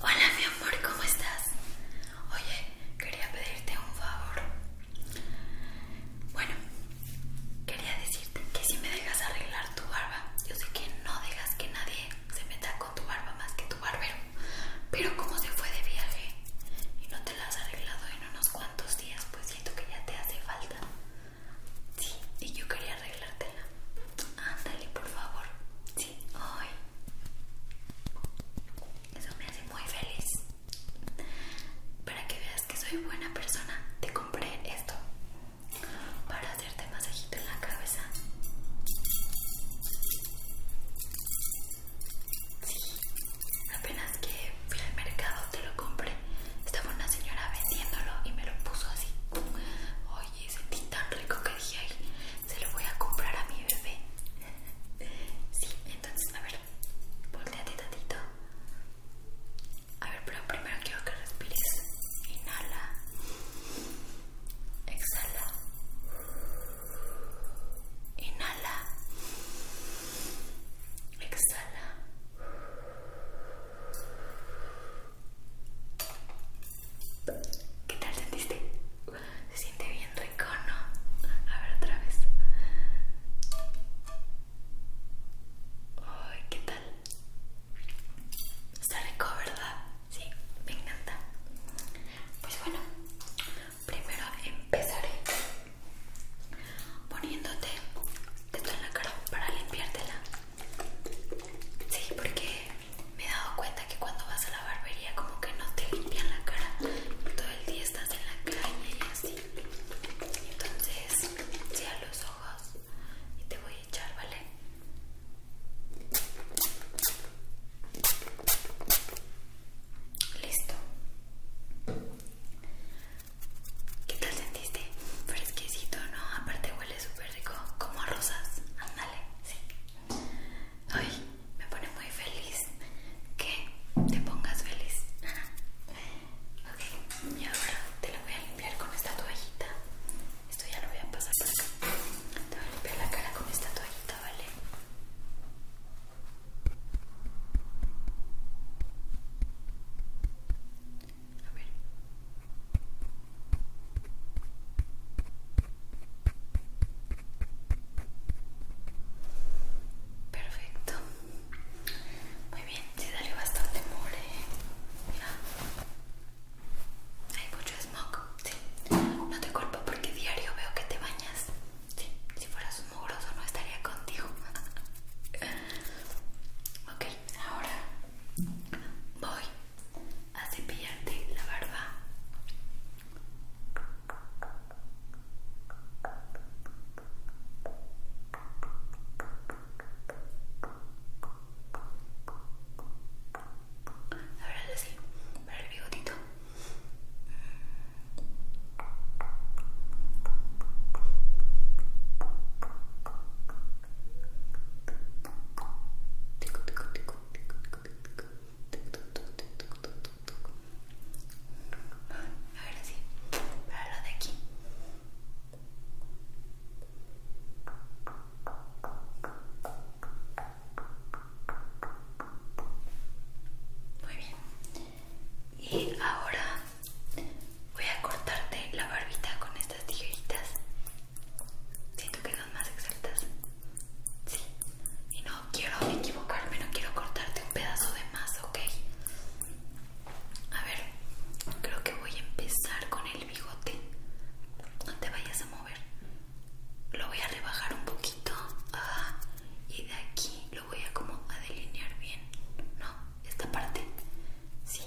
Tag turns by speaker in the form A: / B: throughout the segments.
A: Hola mi amor, ¿cómo estás? Oye, quería pedirte un favor. Bueno, quería decirte que si me dejas arreglar tu barba, yo sé que no dejas que nadie se meta con tu barba más que tu barbero, pero como se fue de viaje y no te la has arreglado en unos cuantos días, pues siento que ya te hace falta. Sí, y yo quería arreglártela. Ándale, por favor. Sí, hoy. Eso me hace muy feliz. Para que veas que soy buena persona, te compré esto para hacerte masajito en la cabeza. Sí, apenas que fui al mercado, te lo compré. Estaba una señora vendiéndolo y me lo puso así. Oye, sentí tan rico que dije, ay, se lo voy a comprar a mi bebé. Sí, entonces, a ver, volteate tantito. A ver, pero primero quiero que respires. Inhala. Exhala. Inhala. Exhala. ¿Qué tal sentiste? Se siente bien rico, ¿no? A ver otra vez. Ay, ¿qué tal? Está rico, ¿verdad? Sí, me encanta. Pues bueno, primero empezaré poniéndote esto en la cara para limpiártela. Sí, porque me he dado cuenta que cuando vas a la barbería como que no te limpian la cara. Todo el día estás en la calle y así. Entonces, cierra los ojos y te voy a echar, ¿vale? Listo. ¿Qué tal sentiste? Fresquecito, ¿no? Aparte huele súper rico, como a rosas. Ándale, sí. Ay, me pone muy feliz que te pongas feliz. Ok, y ahora te lo voy a limpiar con esta toallita. Esto ya lo voy a pasar por acá. Te voy a limpiar la cara con esta toallita, ¿vale? A ver. Perfecto. Muy bien, sí salió bastante mole. Mira. Hay mucho smog. Sí. No te culpo porque diario veo que te bañas. Si fueras un mugroso no estaría contigo. Okay, ahora voy a cepillarte la barba. Ahora sí, para el bigotito. A ver para lo de aquí. Muy bien y ahora voy a cortarte la barbita con estas tijeritas siento que son más exactas sí y no quiero equivocarme no quiero cortarte un pedazo de más ok a ver creo que voy a empezar con el bigote no te vayas a mover lo voy a rebajar un poquito y de aquí lo voy a como a delinear bien no esta parte. Sí,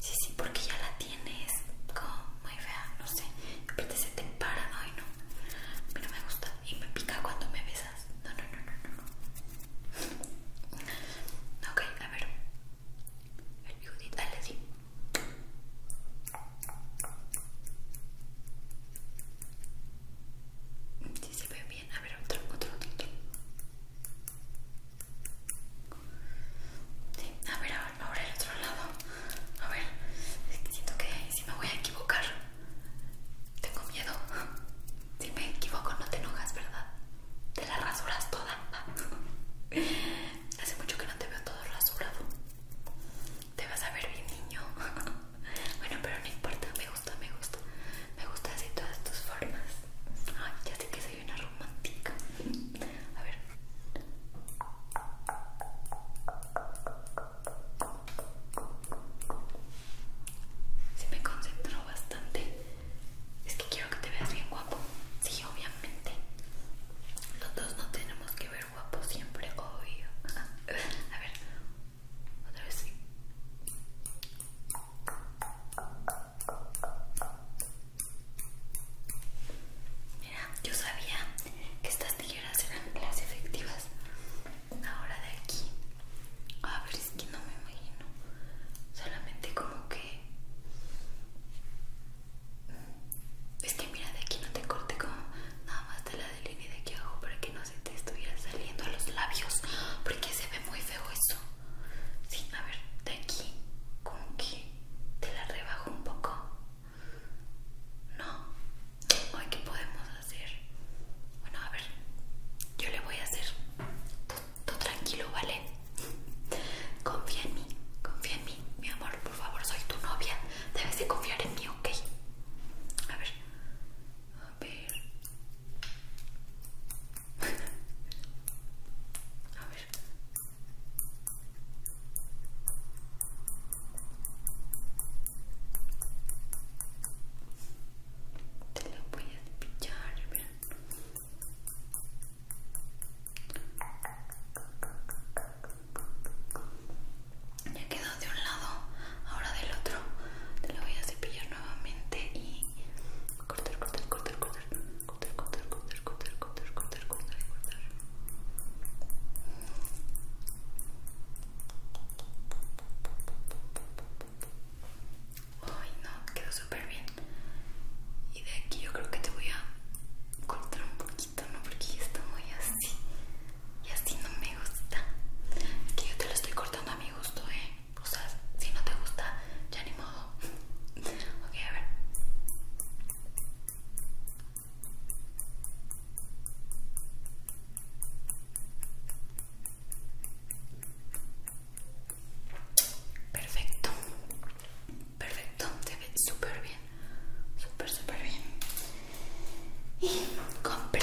A: sí, sí, porque ya la tienes como muy fea, no sé. Aparte se te para, ay no. A no me gusta y me pica cuando me besas. No, no, no, no, no. no. Ok, a ver. El Judith, dale, sí. Sí se ve bien. A ver, otro, otro, otro a ver, ahora el otro lado. A ver, siento que si me voy a equivocar. Tengo miedo. Si me equivoco, no te enojas, ¿verdad? Te la rasuras toda. Hace mucho que no te veo todo rasurado. Te vas a ver bien, niño. Bueno, pero no importa, me gusta. Me gusta así todas tus formas. Ay, ya sé que soy una romántica. A ver. Si me concentro bastante. Es que quiero que te veas bien guapo. Sí, obviamente. Los dos no tenemos que ver guapo siempre, obvio. A ver, otra vez Mira, yo sabía que estas tijeras eran las efectivas. Ahora de aquí. A ver, es que no me imagino. Solamente como que... Mm, es
B: que mira, de aquí no te corte como nada más de la deline de aquí abajo para que no se te estuviera saliendo a los labios. Porque se ve muy feo eso. Sí, a ver, de aquí como que te la rebajo un poco. No.
A: ¿qué podemos hacer? Bueno, a ver, yo le voy a hacer. todo tranquilo, ¿vale? Confía en mí, confía en mí, mi amor, por favor, soy tu novia. Debes de confiar en mí, ¿ok? A ver, a ver, a ver. Te lo voy a cepillar Ya quedó de un lado, ahora del otro. Te lo voy a cepillar nuevamente y cortar, cortar, cortar, cortar, cortar, cortar, cortar, cortar, cortar, cortar, Ay no, quedó súper bien. Y de aquí yo creo que te voy a cortar un poquito, ¿no? Porque ya está muy así. Y así no me gusta. Es que yo te lo estoy cortando a mi gusto, eh o sea, si no te gusta, ya ni modo. ok, a ver. Perfecto, perfecto, te ve súper bien, súper, súper bien. Y compré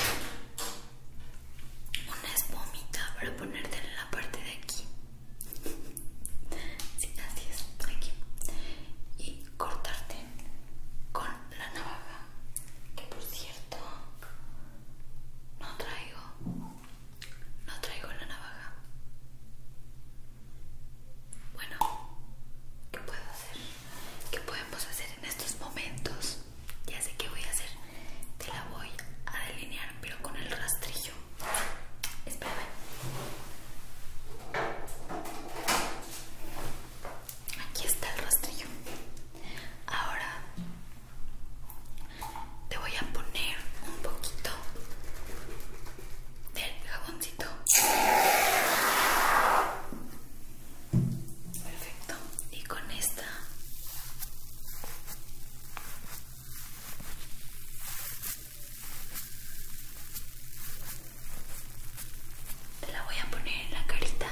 A: una espumita para ponerte en la parte de aquí. Sí, así es, aquí. Y cortarte con la navaja, que por cierto no traigo, no traigo la navaja. Bueno, ¿qué puedo hacer? ¿Qué podemos hacer en estos momentos? Ya sé que voy a hacer, te la voy a delinear pero con el rastrillo. Espérame. Aquí está el rastrillo. Ahora te voy a poner un poquito del jaboncito.
B: Perfecto. Y con esta te la voy a poner en la carita.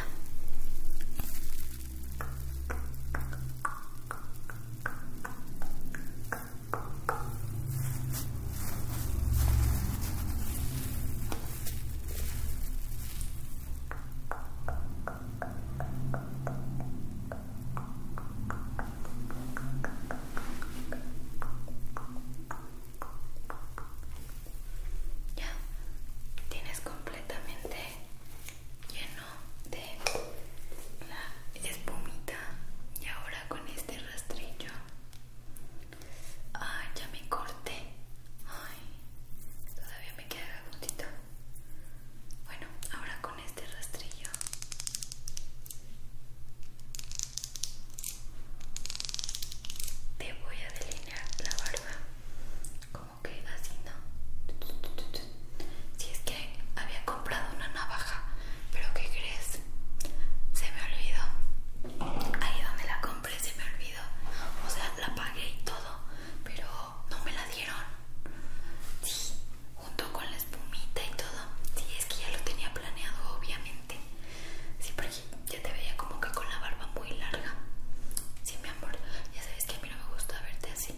A: Ya tienes completamente lleno de la espumita y ahora con este rastrillo. ya me corté. todavía me queda puntito. Bueno, ahora con este rastrillo. Te voy a delinear la barba como que así, ¿no? Si es que había comprado una navaja, pero ¿qué crees? Se me olvidó. Ahí donde la compré se me olvidó. O sea, la pagué y todo, pero no me la dieron. junto con la espumita y todo. Sí, es que ya lo tenía planeado, obviamente. Sí, porque ya te veía como que con la barba muy larga. Sí, mi amor, ya sabes que a mí no me gusta verte así.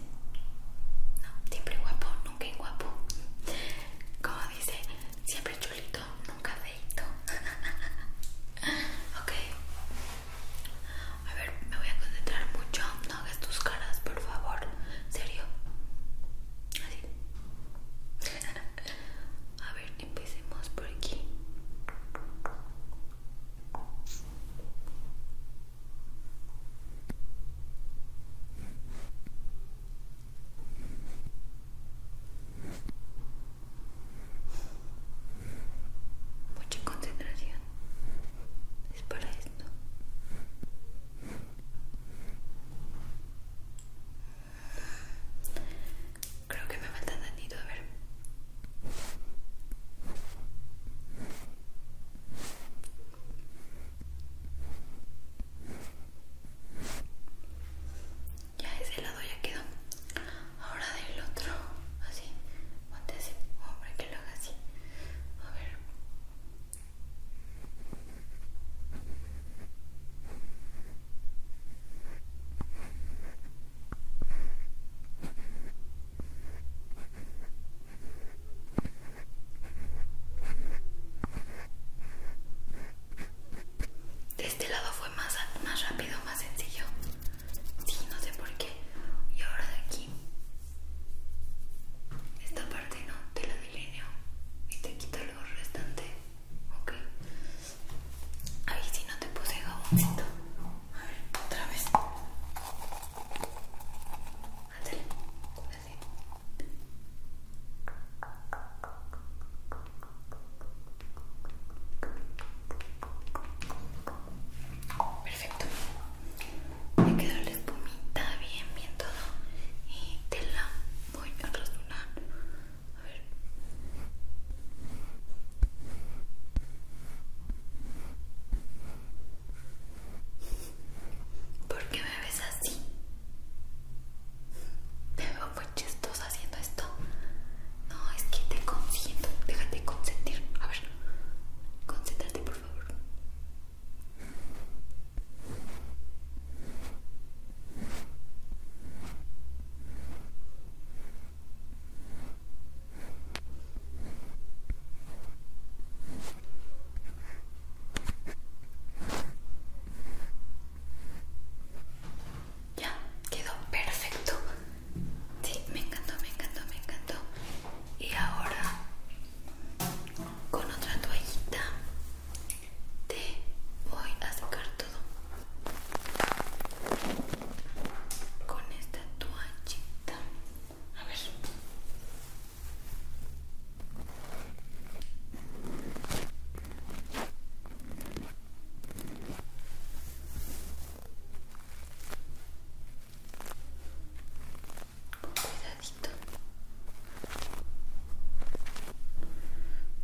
A: No, siempre guapo, nunca guapo. Como dice, siempre chulito, nunca feito. ok. A ver, me voy a concentrar mucho hagas tus caras, por favor. ¿Serio? Así. A ver, empecemos por aquí. Mucha concentración es para esto creo que me falta tantito a ver ya ese lado ya quedó ahora del otro así ponte así hombre que lo haga así a ver de este lado fue más, más rápido, más sencillo. Sí, no sé por qué. Y ahora de aquí esta parte no te la delineo y te quito lo restante ok ver si no te puse jaboncito a ver otra vez Hazle, así Perfecto me quedó la espumita bien, bien todo y te la voy a rasurar a ver ¿por qué me ves así? me veo muy chistosa haciendo esto no, es que te consiento déjate consentir, a ver concéntrate por favor ya, quedó perfecto. Sí, me encantó, me encantó, me encantó y ahora con otra toallita te voy a sacar todo con esta toallita a ver Cuidadito.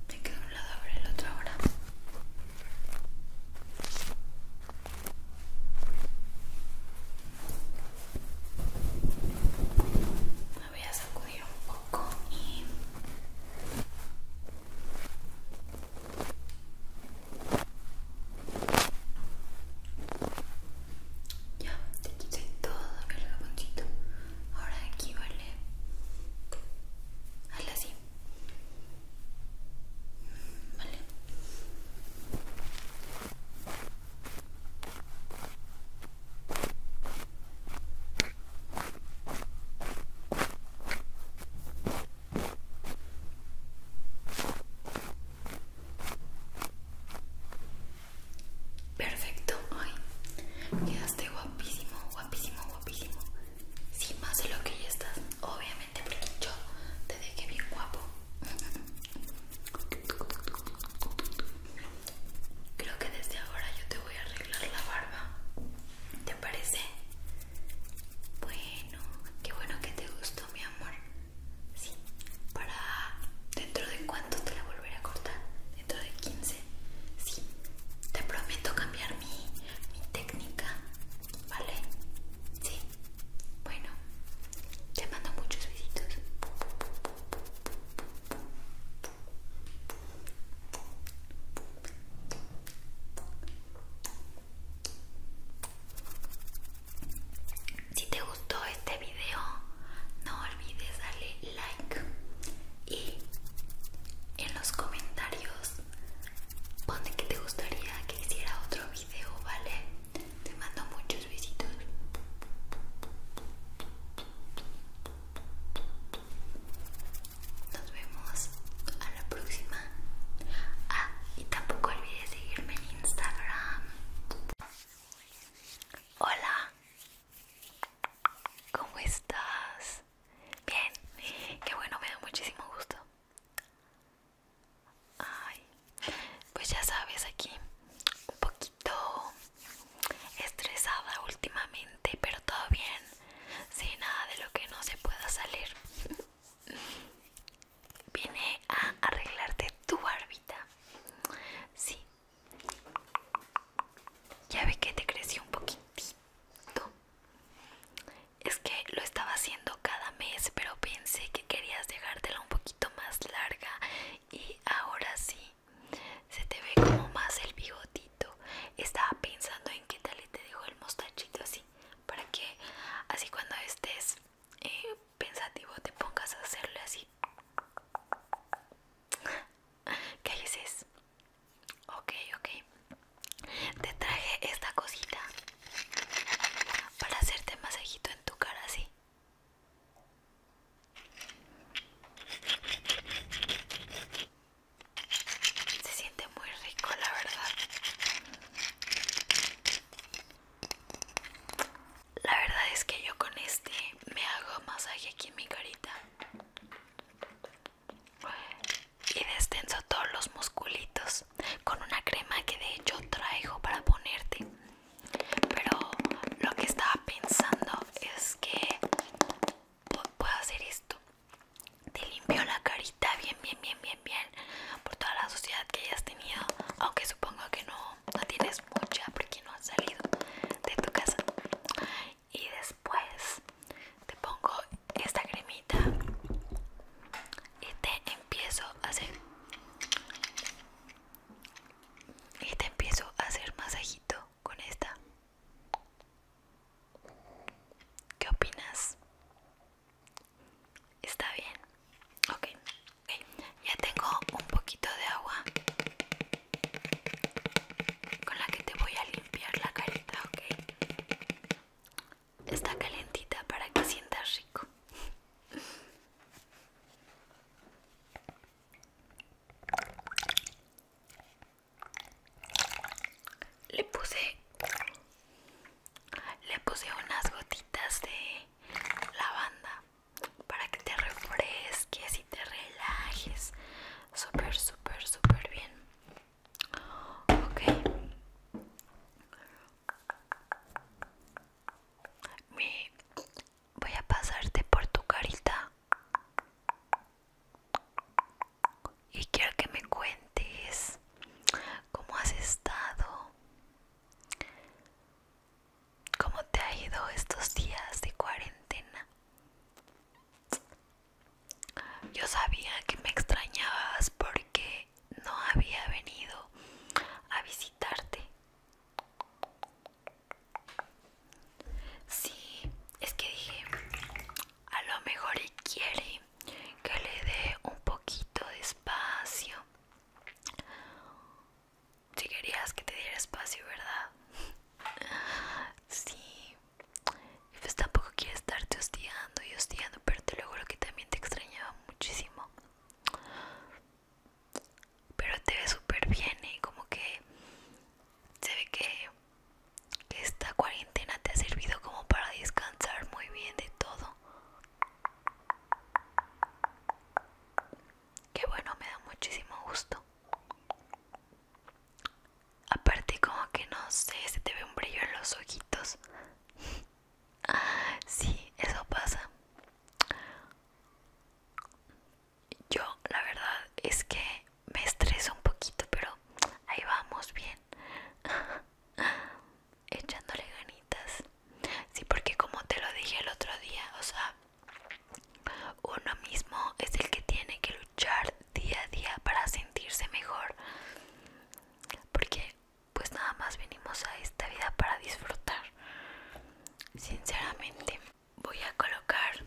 A: Me quedo un lado, abre el otro ahora. Me voy a sacudir un poco y... Ya, te quité todo el jaboncito. Ahora aquí, mm, ¿vale? Hazla así. Vale, Perfecto, ay, quedaste guapísimo, guapísimo, guapísimo. Sin más de lo que ya estás, obviamente, porque yo te dejé bien guapo. Creo que desde ahora yo te voy a arreglar la barba. ¿Te parece? Bueno, qué bueno que te gustó, mi amor amor. Sí, para dentro de cuánto te la volveré a cortar, dentro de 15. Sí, te prometo cambiar mi, técnica, ¿vale? Sí, bueno, te mando muchos besitos. Si te gustó este video, no olvides darle like y en los comentarios pone que te gustaría que hiciera otro video, ¿vale? Te mando muchos besitos. Nos vemos a la próxima. Ah, y tampoco olvides seguirme en Instagram. Hola, ¿cómo estás? Bien, qué bueno, me da muchísimo gusto. pues ya sabes, aquí un poquito estresada últimamente, pero todo bien, sin nada de lo que no se pueda salir. Viene a arreglarte tu barbita. Sí. Ya ve que te creció un poquitito. Es que lo estaba haciendo cada mes, pero pensé que querías dejártela un poquito más larga. Y ahora sí, se te ve como más el bigotito. Estaba pensando en qué tal le te dejo el mostachito así. Para que así cuando estés eh, pensativo te pongas a hacerle así ¿Qué dices? Ok, ok Te traje esta cosita Para hacerte masajito en tu cara, así Se siente muy rico, la verdad la verdad es que yo con este me hago masaje aquí en mi carita y destenso todos los musculitos con una crema que de hecho traigo para ponerte. Pero lo que estaba pensando es que puedo hacer esto. Te limpio la carita bien, bien, bien, bien, bien por toda la suciedad que hayas tenido, aunque supongo que no no tienes mucha porque no has salido de tu casa y después te pongo esta cremita y te empiezo a hacer y te empiezo a hacer masajito con esta
B: ¿Qué opinas? ¿Está bien? ok, ya tengo un poquito de agua con la que te voy a limpiar la carita, ok.
A: Está calentita para que sientas rico. Le puse le puse unas gotitas de lavanda para que te refresques y te relajes súper súper súper bien ok Me voy a pasarte por tu carita y quiero que me cuentes cómo has estado ¿Cómo te ha ido estos días de cuarentena? Yo sabía que me extrañabas porque no había venido a visitarte. Sí, es que dije, a lo mejor quiere que le dé un poquito de espacio. Si querías que te diera espacio, ¿verdad? sí. Pues tampoco quiero estarte hostigando y hostigando, pero te juro que también te extrañaba muchísimo. Pero te ve súper bien, y ¿eh? Como que se ve que esta cuarentena te ha servido como para descansar muy bien de todo que bueno me da muchísimo gusto aparte como que no sé se te ve un brillo en los ojitos sí eso pasa yo la verdad es que me estreso un poquito pero ahí vamos bien echándole ganitas Sí, porque como te lo dije el otro día, o sea, uno mismo es el que tiene que luchar día a día para sentirse mejor. Porque pues nada más venimos a esta vida para disfrutar. Sinceramente, voy a colocar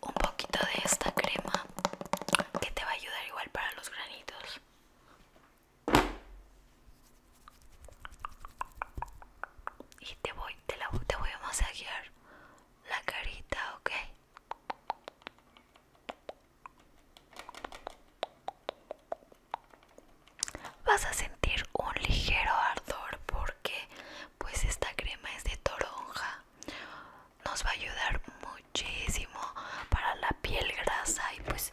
A: un poquito de esta crema que te va a ayudar igual para los granitos. Y te voy, te, la, voy a masajear la carita, ¿ok? Vas a sentir un ligero ardor porque pues esta crema es de toronja. Nos va a ayudar muchísimo para la piel grasa y pues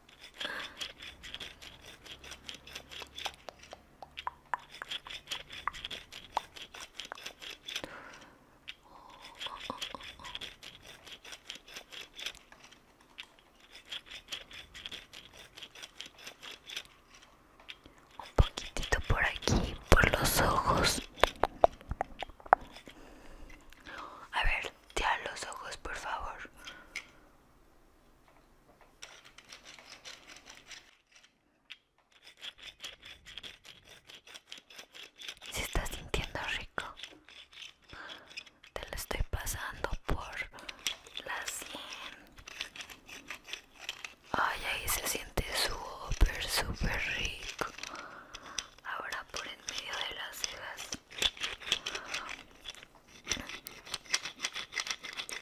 A: Un poquitito por aquí, por los ojos. A ver, ya los ojos, por favor. Se está sintiendo rico. Te lo estoy pasando por la sien. Ay, ahí se siente súper, súper rico. Ahora por el medio de las cejas.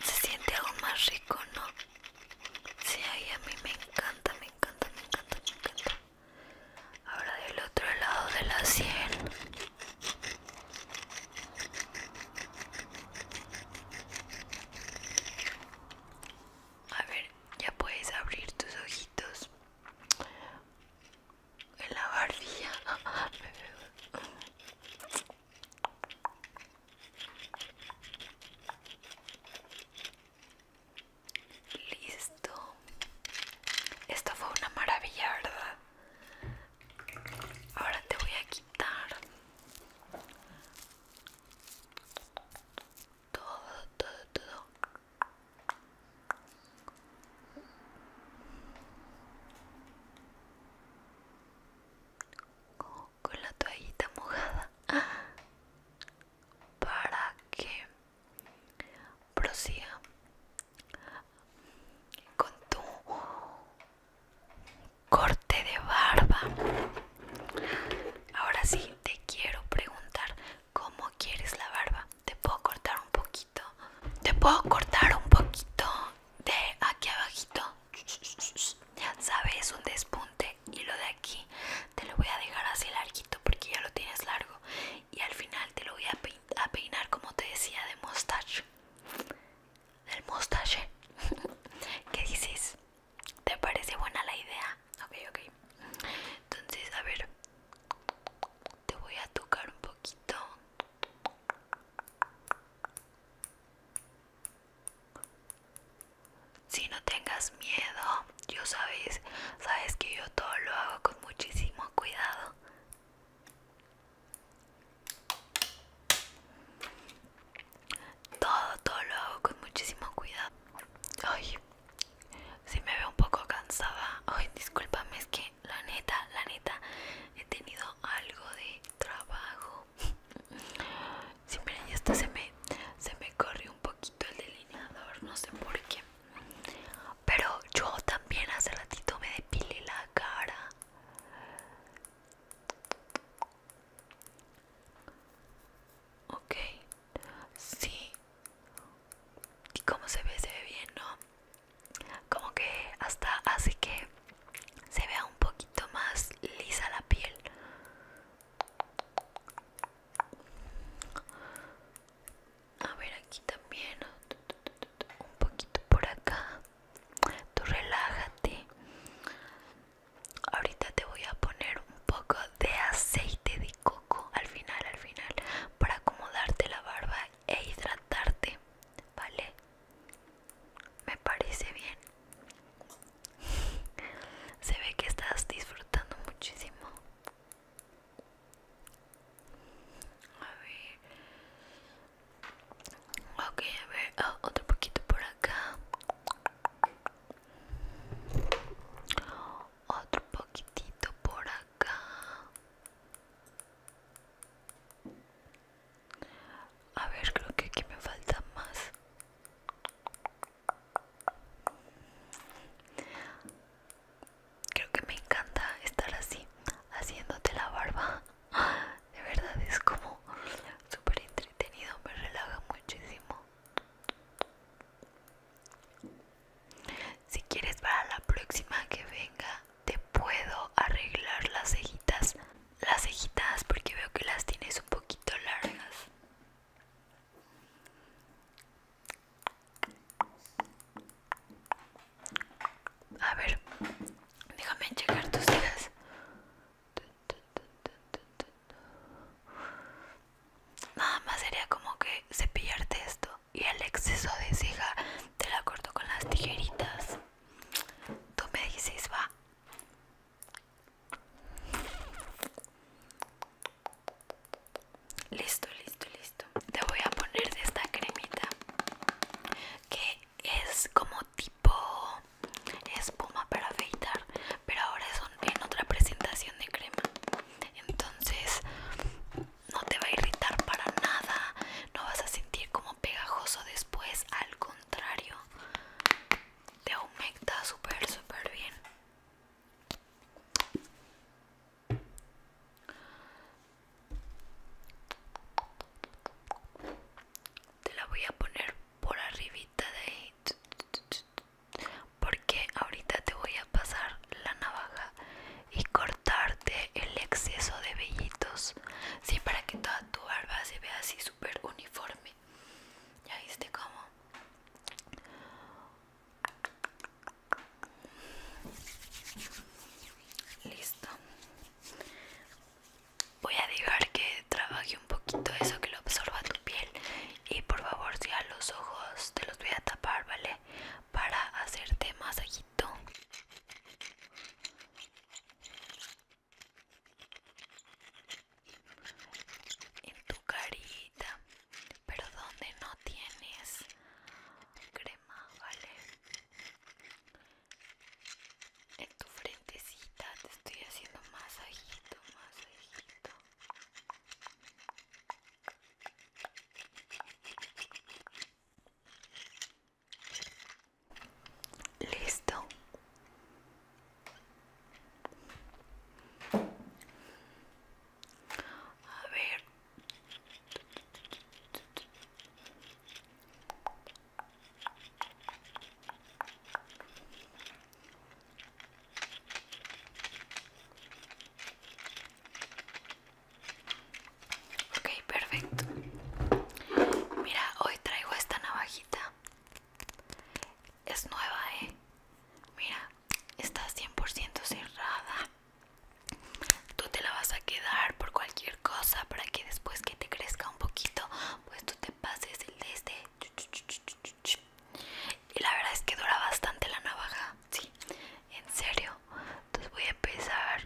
A: Se siente algo más rico, ¿no? Sí, a mí me encanta, me encanta, me encanta, me encanta. Ahora del otro lado de la sien. A ver, ya puedes abrir tus ojitos en la barbilla. Listo. Esto fue una maravilla, ¿verdad? Ahora te voy a quitar todo, todo, todo con la toallita mojada para que prosiga con tu corte de barba ahora sí te quiero preguntar cómo quieres la barba te puedo cortar un poquito. Te puedo cortar un poquito de aquí abajito. Ya Sabes, un despunte y lo de aquí te lo voy a dejar así larguito porque ya lo tienes largo. Y al final te lo voy a, peinar como te decía de mustache. Del mustache. ¿Qué dices? ¿Te parece buena la idea? Ok, ok. Entonces, a ver, te voy a tocar un poquito si no tengas miedo yo sabes sabes que yo todo lo hago con muchísimo cuidado todo todo lo hago con muchísimo cuidado ay si me veo un poco cansada ay discúlpame es que la neta, la neta, he tenido algo de trabajo. Si miren, ya hasta se me, se me corrió un poquito el delineador, no sé por qué. Pero yo también hace ratito me depilé la cara. Ok, sí. ¿Y cómo se ve? Se ve bien, ¿no? como que hasta hace que se vea un poquito más lisa la piel a ver aquí también un poquito por acá tú relájate ahorita te voy a poner un poco de aceite de coco al final al final para acomodarte la barba e hidratarte, ¿vale? Me parece bien. Se ve que estás disfrutando muchísimo. A ver. Ok, a ver. Ah, otro poquito por acá. Otro poquitito por acá. A ver, creo que aquí me falta más. Creo que me encanta estar así, haciéndote la barba. De verdad es como súper entretenido, me relaja muchísimo. Si quieres para la próxima que venga, te puedo arreglar las cejitas. Las cejitas porque veo que las tienes un poquito largas. A ver, déjame checar tus cejas. Nada más sería como que cepillarte esto y el exceso de ceja te la corto con las tijeritas. Tú me dices, va. Listo, listo, listo. Te voy a poner de esta cremita que es como tipo espuma para afeitar, pero ahora es en otra presentación de crema. Entonces no te va a irritar para nada, no vas a sentir como pegajoso después, al contrario, te aumenta súper, súper bien. Te la voy a poner por arribita de ahí porque ahorita te voy a pasar la navaja y cortarte el exceso de vellitos, sí, para que toda tu barba se vea así súper uniforme. ¿Ya viste cómo? Listo. Voy a dejar que trabaje un poquito eso que lo absorba tu piel y por favor si los ojos te los voy a tapar, ¿vale? Para hacerte masajito en tu carita pero donde no tienes crema vale en tu frentecita te estoy haciendo más masajito Listo. A ver. Ok, perfecto. Mira, hoy traigo esta navajita. Es nueva, ¿eh? Mira, está 100% cerrada. Tú te la vas a quedar por cualquier cosa para que después que te crezca un poquito, pues tú te pases el de este. Y la verdad es que dura bastante la navaja, sí, en serio entonces voy a empezar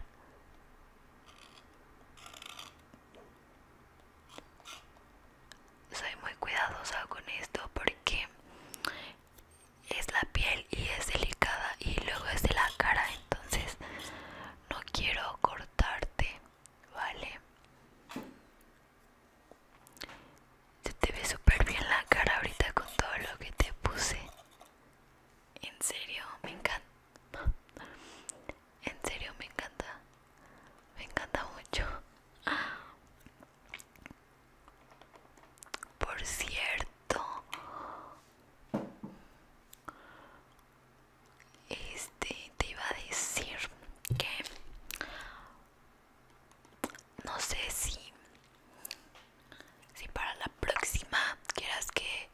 A: soy muy cuidadosa con esto porque es la piel y es delicada y luego es de la cara entonces no quiero cortarte vale se te ve súper bien la cara ahorita con todo lo que te puse en serio, me encanta. En serio, me encanta. Me encanta mucho. Por cierto, este te iba a decir que no sé si si para la próxima quieras que,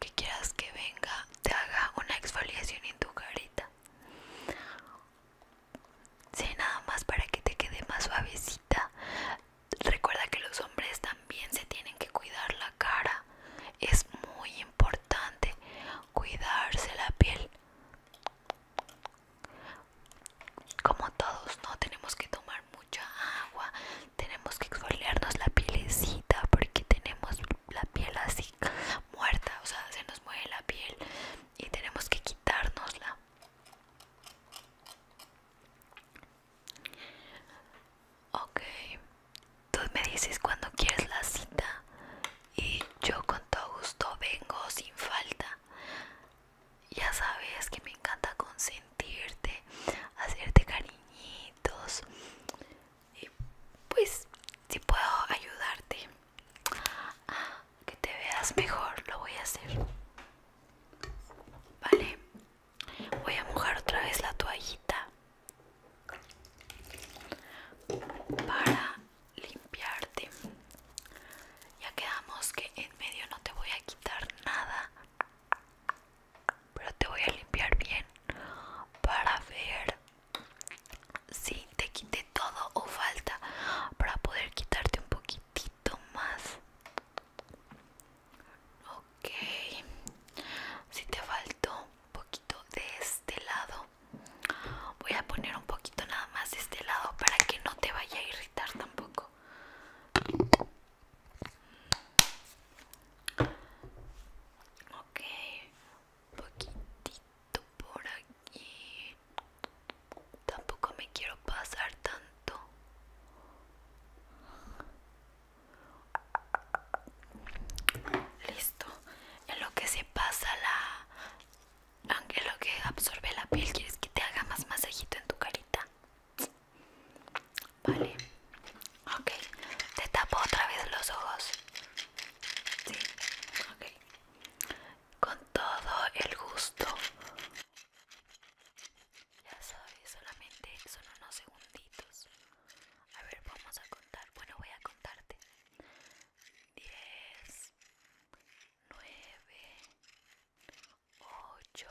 A: que quieras que venga te haga una exfoliación en tu carita si nada más para que te quede más suavecita. Recuerda que los hombres también se tienen que cuidar la cara. Es muy importante cuidarse la piel. Como todos, ¿no? Tenemos que tomar mucha agua, tenemos que exfoliarnos la pielecita porque tenemos la piel así muerta, o sea, se nos mueve la piel y tenemos que quitárnosla. Ok, tú me dices cuando quieres la cita y yo con todo gusto vengo sin falta. Ya sabes que me encanta con consentir sentirte, hacerte cariñitos y pues si puedo ayudarte a que te veas mejor lo voy a hacer. Vale, voy a mojar otra vez la toallita para limpiarte. Ya quedamos que en medio no te voy a quitar nada pero te voy a limpiar bien para ver si te quité todo o falta para poder quitarte un poquitito más ok si te faltó un poquito de este lado voy a poner un poquito nada más de este lado para que no te vaya a irritar tampoco Ok, un poquitito por aquí. Tampoco me quiero pasar tanto. Listo. En lo que se pasa la... lo que absorbe la piel, ¿quieres que te haga más masajito en tu carita? Vale. Ok. Te tapo otra vez los ojos. Sí. Ok. Con todo el gusto. Ya sabes, solamente son unos segunditos. A ver, vamos a contar. Bueno, voy a contarte. 10, 9, 8,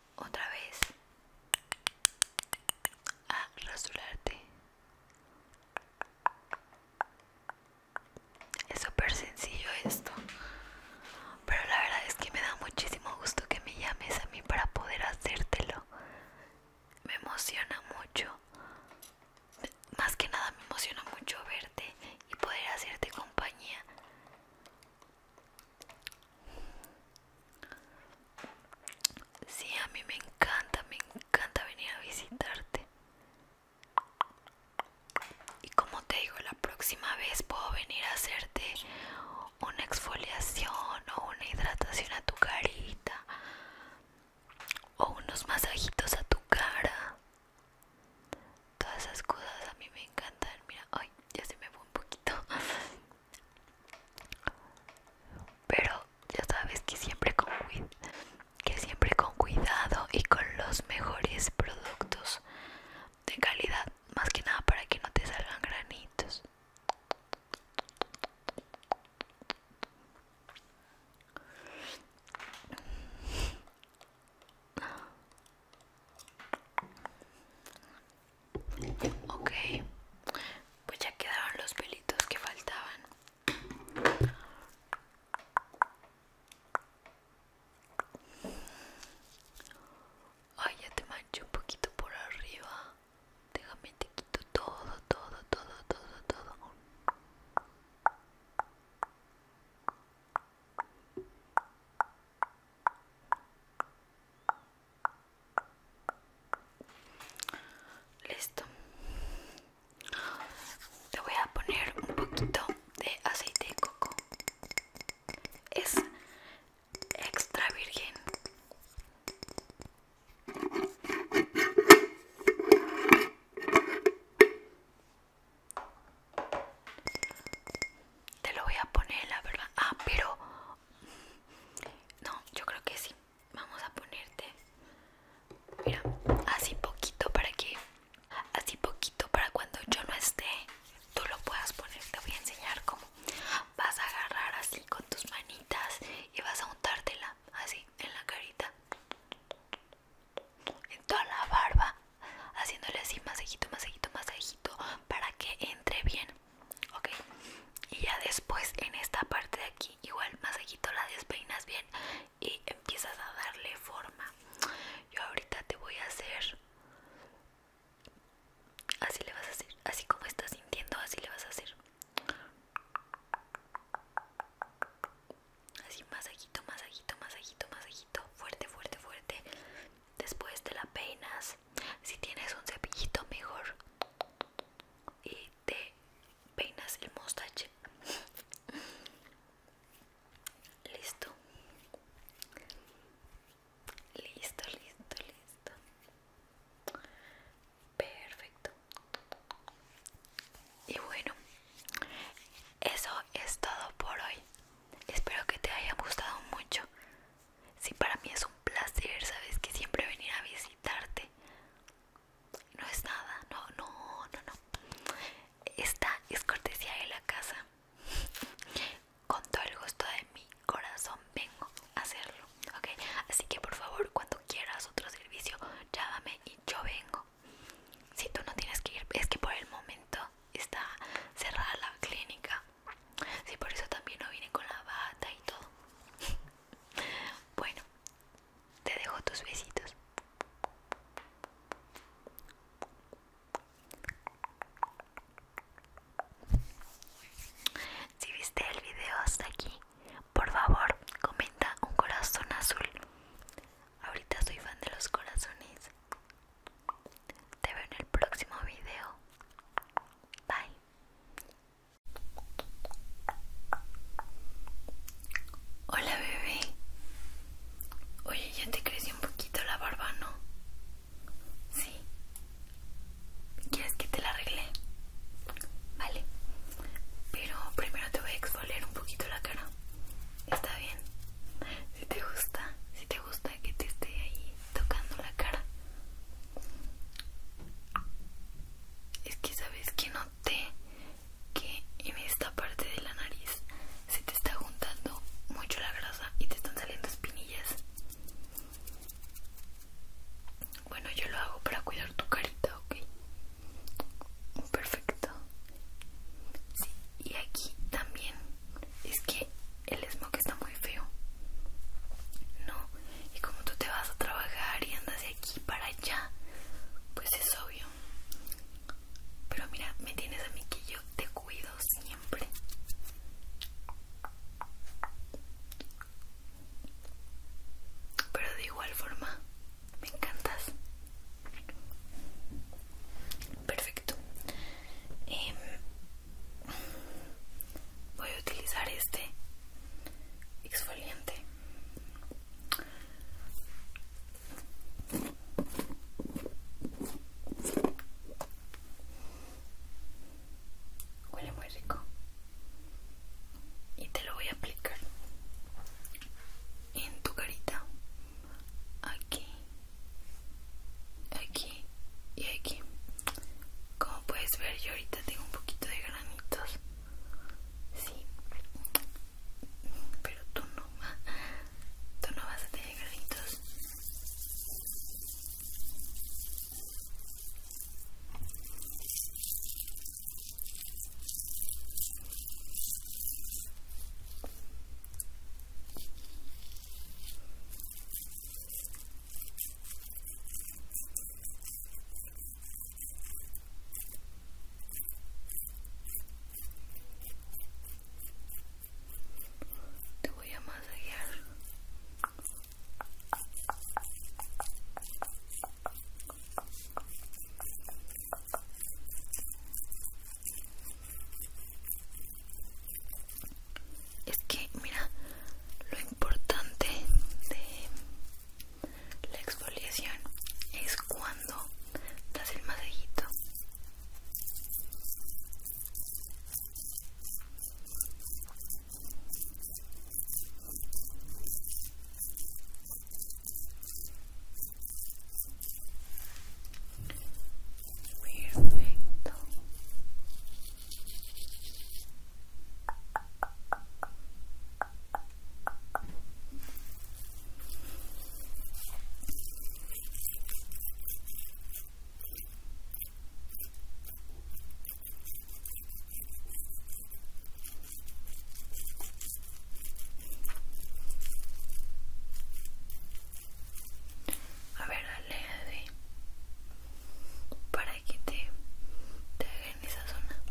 A: otra vez a rasurarte. Es súper sencillo esto, pero la verdad es que me da muchísimo gusto que me llames a mí para poder hacértelo. Me emociona mucho, más que nada me emociona mucho verte y poder hacerte compañía. Sí, a mí me encanta, me encanta venir a visitarte. Y como te digo, la próxima vez puedo venir a hacerte una exfoliación o una hidratación a tu carita o unos masajitos a tu cara. Todas esas cosas a mí me encantan. Mira, ay, ya se me fue un poquito. Pero ya sabes que siempre con que siempre con cuidado y con los mejores productos de calidad, más que nada para que no te salgan granitos. Ok, pues ya quedaron los pelitos que faltaban. Ay, ya te marché un poquito por arriba. Déjame te quito todo,
B: todo, todo, todo, todo. Listo.
A: Te voy a poner un poquito de aceite de coco.
B: Es extra virgen.
A: Te lo voy a poner, la verdad. Ah, pero no, yo creo que sí Vamos a ponerte, así poquito para que, así poquito para cuando yo no esté, tú lo puedas poner. Te voy a enseñar cómo. Vas a agarrar así con tus manitas y vas a untártela así en la carita, en toda la barba, haciéndole así masajito, masajito, masajito para que entre bien ok y ya después en esta parte de aquí igual masajito la despeinas bien y empiezas a darle forma yo ahorita te voy a hacer así le vas a hacer así como estás sintiendo así le vas a hacer así más masajito más masajito fuerte fuerte fuerte después te la peinas si tienes un cepillito mejor y te peinas el mostache listo listo listo listo perfecto y bueno eso es todo por hoy espero que te haya gustado mucho si para mí es un placer, sabes que siempre venir a visitarte. No es nada, no, no, no, no. Esta es cortesía de la casa. Con todo el gusto de mi corazón vengo a hacerlo, ¿ok? Así que por favor, cuando quieras otro servicio, llámame y yo vengo. Si tú no tienes que ir, es que por el momento está cerrada la clínica. si por eso también no vine con la bata y todo. Bueno, te dejo tus besitos. Si viste el video hasta aquí, por favor comenta un corazón azul. Ahorita soy fan de los corazones. Te veo en el próximo video. Bye. Hola bebé. Oye, ya te creció un poquito la barba, ¿no? Sí. ¿Quieres que te la arregle? Vale. Pero primero te voy a exfoliar un poquito la cara. ¿Está bien? Si te gusta, si te gusta que te esté ahí tocando la cara. Es que sabes que noté que en esta parte de la nariz se te está juntando mucho la grasa y te están saliendo espinillas. Bueno, yo lo hago para cuidar tu carita, ¿ok? Perfecto. y aquí también es que el smoke está muy muy feo. No, y como tú te vas a trabajar y andas de aquí para allá, pues es obvio. Pero mira, me tienes a mí que yo te cuido siempre. Pero de igual forma, me encantas. Perfecto. Eh, voy a utilizar este exfoliante huele muy rico y te lo voy a aplicar en tu carita aquí aquí y aquí como puedes ver, yo ahorita tengo un poquito de granitos. Sí, pero tú no. Tú no vas a tener granitos. Te voy a masajear es que mira lo importante de la exfoliación es cuando das el masajito a ver, dale, de para que te, te en esa zona.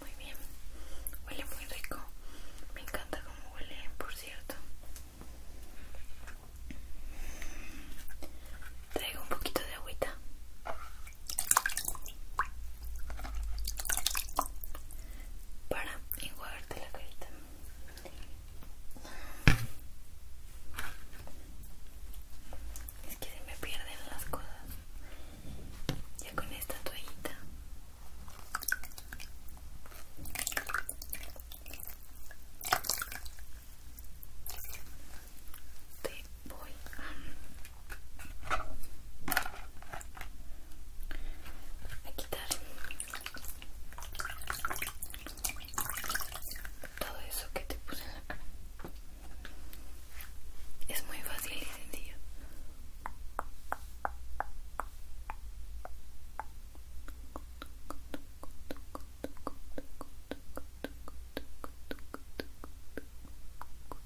A: Muy bien, huele muy rico. Me encanta como huele, por cierto. Traigo un poquito de agüita para enjuagarte la carita. Es que se me pierden las cosas. Ya con esta toallita voy a, quitar todo eso que te puse Es muy fácil y sencillo.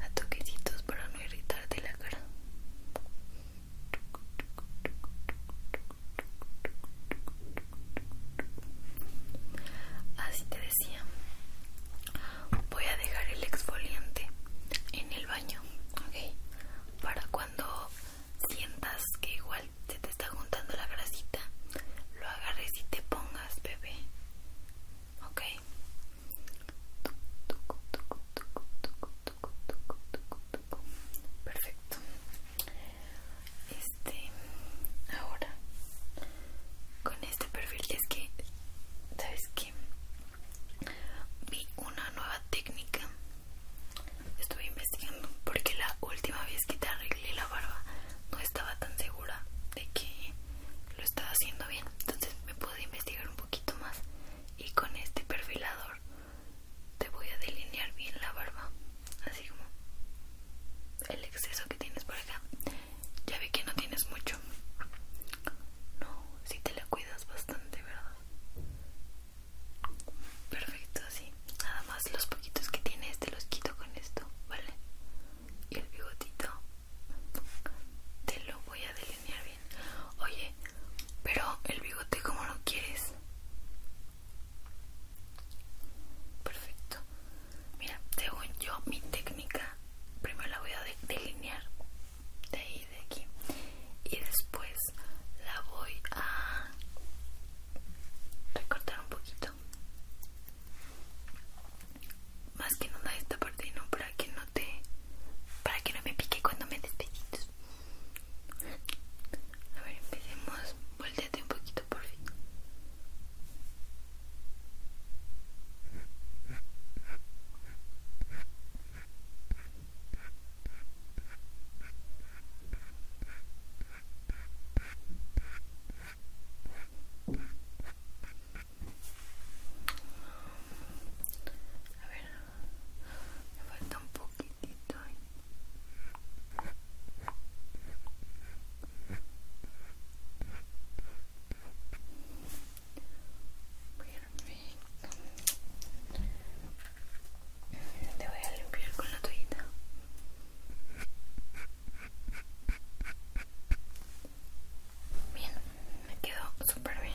A: a toquecitos para no irritarte la cara así te decía voy a dejar el exfoliante en el para cuando sientas que igual se te está juntando la grasita, lo agarres y te pongas, bebé, ¿ok? Perfecto. Este, ahora, con este perfil es que, ¿sabes que vi una nueva técnica estuve investigando porque la última vez que te arreglé la barba no estaba tan segura de que lo estaba haciendo bien entonces me pude investigar un poquito más y con este perfilador te voy a delinear bien la barba así como el exceso que tienes por acá ya vi que no tienes mucho no, si te la cuidas bastante, ¿verdad? Perfecto, así. Nada más los poquitos que tienes te los quito con esto, ¿vale? Y el bigotito te lo voy a delinear bien. Oye, pero el bigote como lo quieres. Perfecto. Mira, según yo mi técnica, primero la voy a delinear de ahí de aquí y después la voy a recortar un poquito más que nada esta parte no para que no te para que no me pique cuando me despedites a ver empecemos volteate un poquito por fin a ver, me falta un poquitito. Ahí. Perfecto. Te voy a limpiar con la toallita. Bien, me quedó super bien.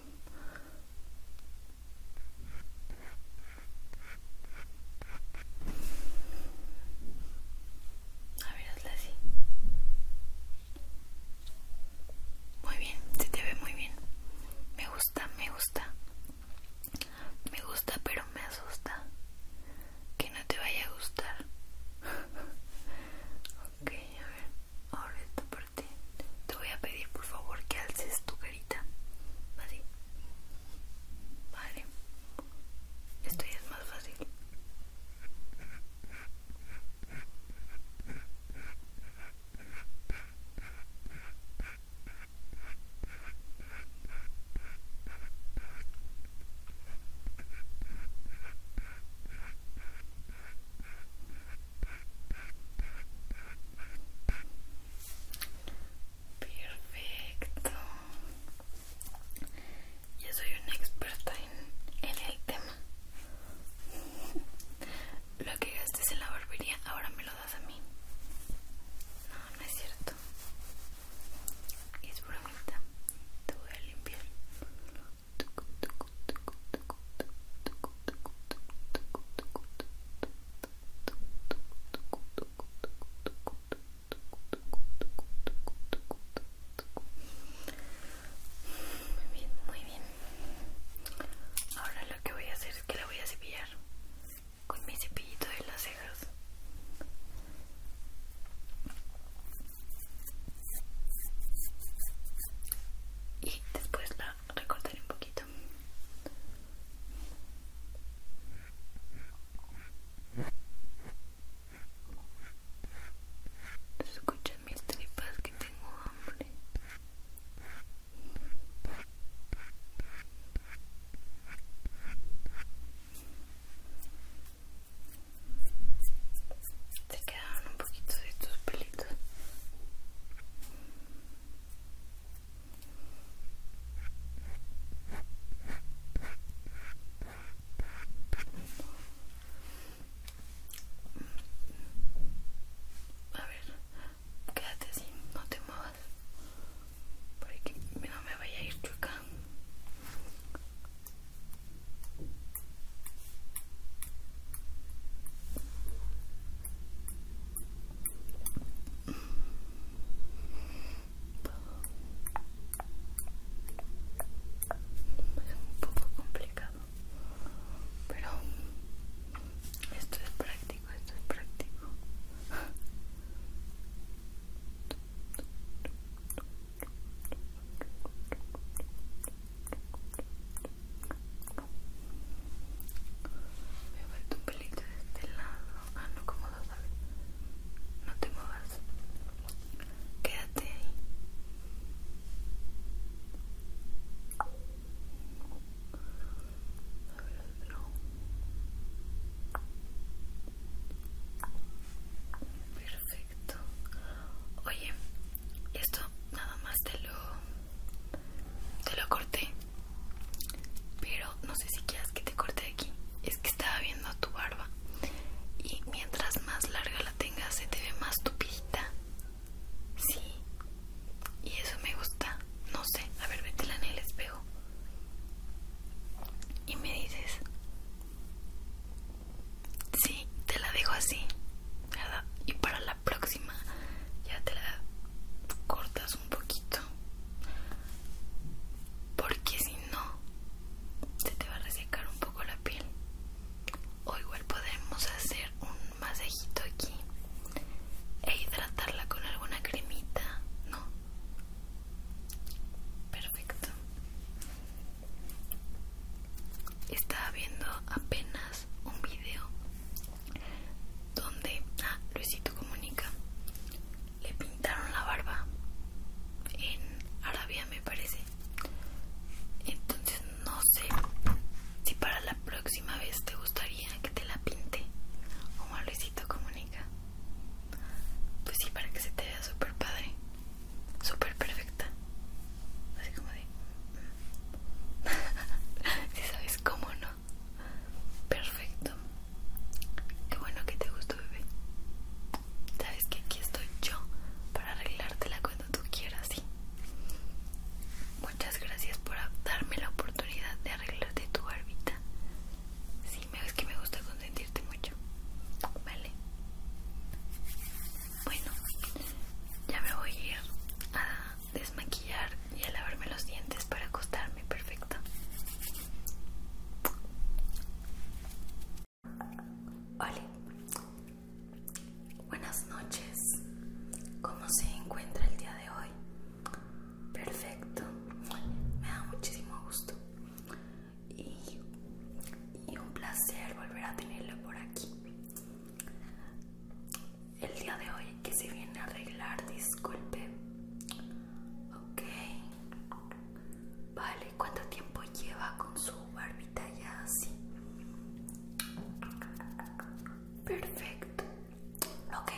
A: A ver, así. Muy bien, se te ve muy bien. Me gusta, me gusta. Me gusta, pero me asusta. Que no te vaya a gustar. Ok, a ver, ahora esta parte. Te voy a pedir por favor que alces tu carita. ¿vale? Vale. Esto ya es más fácil. Perfecto. Yo soy una experta en, el tema. Lo que gastes en la barbería ahora me lo das a mí. No, no es cierto. Es bromita. Te voy a limpiar. Muy bien, muy bien. Ahora lo que voy a hacer es que la voy a cepillar con mi cepillito de las cejas después la recortaré un poquito. Escuchan mis tripas que tengo hambre te quedaron un poquito de tus pelitos a ver, quédate así, no te muevas para que no me vaya a ir chocando es un poco complicado pero esto es práctico esto es práctico Me he vuelto un pelito de este lado. Ah, no, como lo No te muevas. Quédate ahí. A ver Perfecto. Oye, esto nada más te lo, te lo corté. Pero no sé si quieras que te corte aquí. Es que estaba viendo tu barba. Y mientras más larga la tengas, se te ve más tupida. Sí. Y eso me gusta. No sé. A ver, métela en el espejo. Y me dices. Sí, te la dejo así, Y para la próxima ya te la cortas un poquito. Porque si no, se te va a resecar un poco la piel. O igual podemos hacer un masajito aquí e hidratarla con alguna cremita, ¿no? Perfecto. Estaba viendo apenas un video donde a ah, Luisito Comunica le pintaron la barba en Arabia, me parece. Entonces, no sé si para la próxima vez te gustaría que te la pinte como a Luisito Comunica. Pues sí, para que se te vea súper padre, super perfecta así como de mm". si sabes cómo no perfecto qué bueno que te gustó bebé sabes que aquí estoy yo para arreglártela cuando tú quieras sí muchas gracias por darme la oportunidad de arreglarte tu barbita sí ves que me gusta consentirte mucho vale bueno, ya me voy a ir a desmaquillar y a lavarme los dientes para acostarme, perfecto. Hola, buenas noches. ¿Cómo se encuentra el día de hoy? Perfecto, me da muchísimo gusto y, y un placer volver a tenerlo por aquí el día de hoy que se viene a arreglar, disculpe. Ok. Vale, ¿cuánto tiempo lleva con su barbita ya así? Perfecto. Ok,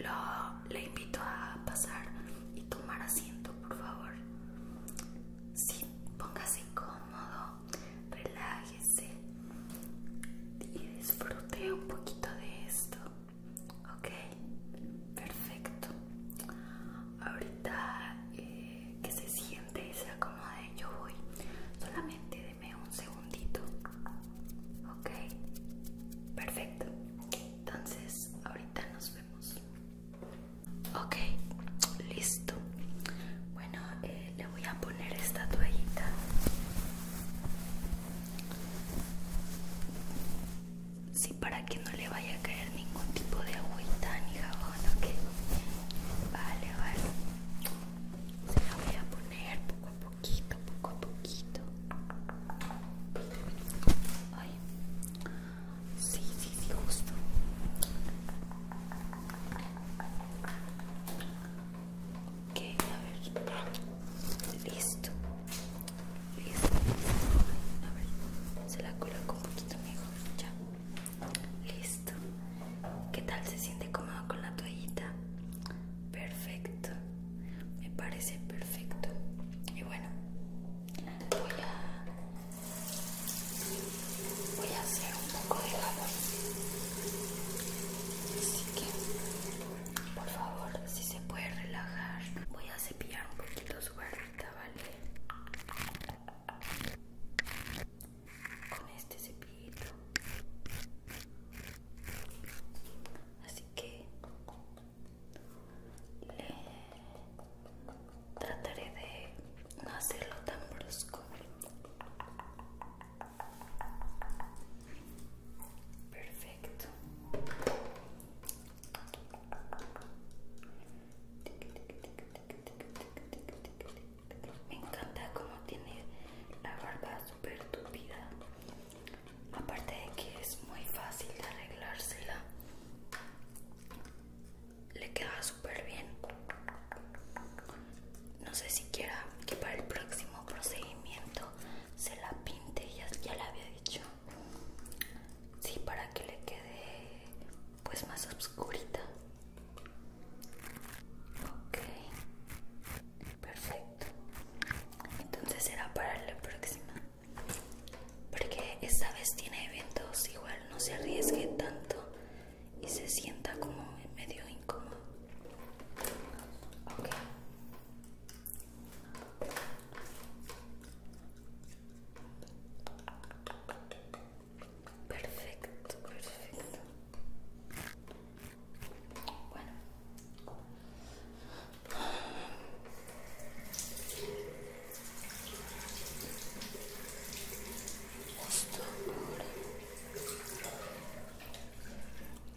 A: Lo, le invito a pasar y tomar asiento, por favor. Sí, póngase cómodo relájese y disfrute un poquito de esto, ok, perfecto. Ahorita eh, que se siente y se acomode, yo voy. Solamente deme un segundito, ok, perfecto. Entonces, ahorita nos vemos. Ok, listo. Bueno, eh, le voy a poner esta toallita sí para que no le vaya a caer ningún tipo de agüita ni jabón ok vale vale se la voy a poner poco a poquito poco a poquito Ay. sí sí sí justo Ok, a ver. Listo. Listo. A ver, se la coloco un poquito mejor. Ya. Listo. ¿Qué tal se siente cómodo con la toallita? Perfecto. Me parece perfecto. Y bueno, voy a voy a hacer un poco de jabón así que por favor si se puede relajar voy a cepillar un poquito su barrita vale con este cepillito así que le trataré de no hacerlo tan brusco Perfecto. Me encanta cómo tiene la barba súper tupida. Aparte de que es muy fácil de arreglársela, le queda súper bien no sé siquiera que para el próximo procedimiento se la pinte, ya, ya la había dicho. Sí, para que le quede pues más oscurita. Ok, perfecto. Entonces será para la próxima. Porque esta vez tiene eventos, igual no se arriesgue tanto y se sienta como medio incómodo. Perfecto, perfecto. Bueno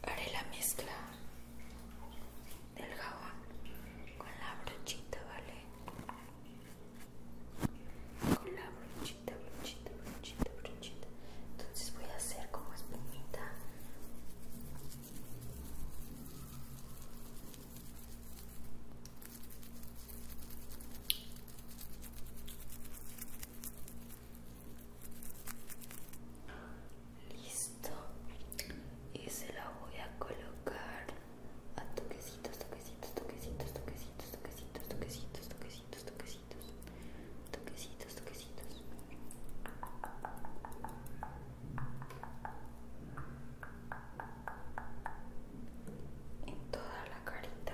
A: haré la mezcla del jabón con la brochita, ¿vale? Con la brochita, brochita, brochita, brochita. Entonces voy a hacer como espumita. Listo. Y se la voy a colocar a toquecitos, toquecitos, toquecitos, toquecitos, toquecitos, toquecitos, toquecitos, toquecitos, toquecitos, toquecitos. En toda la carita.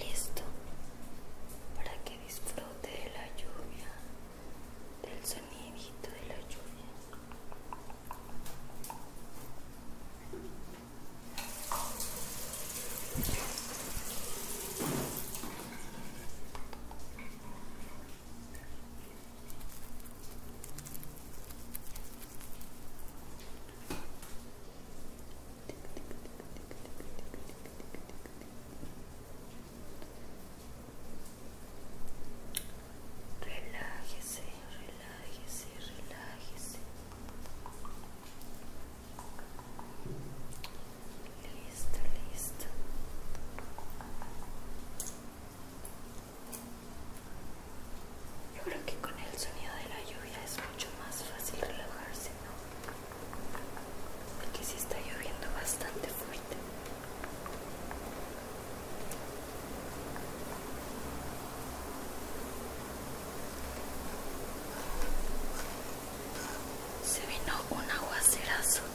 A: Listo para que disfrute de la lluvia, del sonidito de la lluvia.
B: Relájese, relájese, relájese. Listo, listo. Yo creo que con el sonido de la
A: lluvia es mucho más fácil relajarse, ¿no? Porque sí está lloviendo bastante fuerte. Se vino un aguacerazo.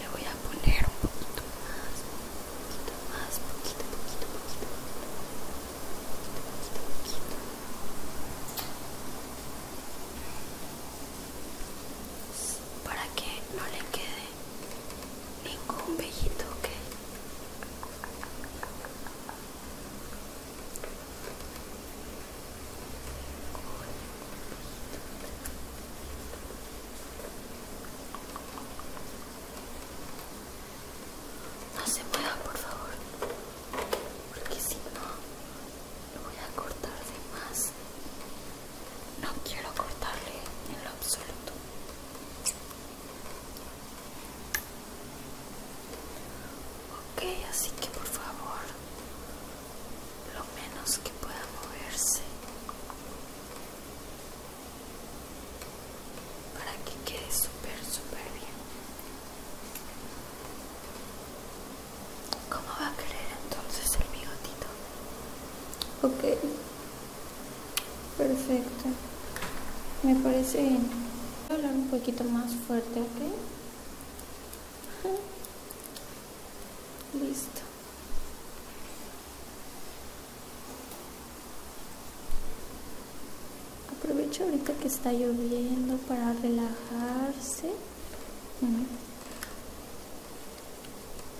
A: le voy a poner un poquito más, un poquito más, poquito, poquito, poquito, poquito, poquito, poquito. Para que no le quede ningún vellito, ¿ok? No se mueva, por favor, porque si no, lo voy a cortar de más. No quiero cortarle en lo absoluto. Ok, así que por favor, lo menos que pueda moverse para que quede súper, súper bien.
B: ¿Cómo va a querer entonces el bigotito? Ok. Perfecto. Me parece bien. hablar un poquito más fuerte, ¿ok? Listo. Aprovecho ahorita que está lloviendo para relajarse.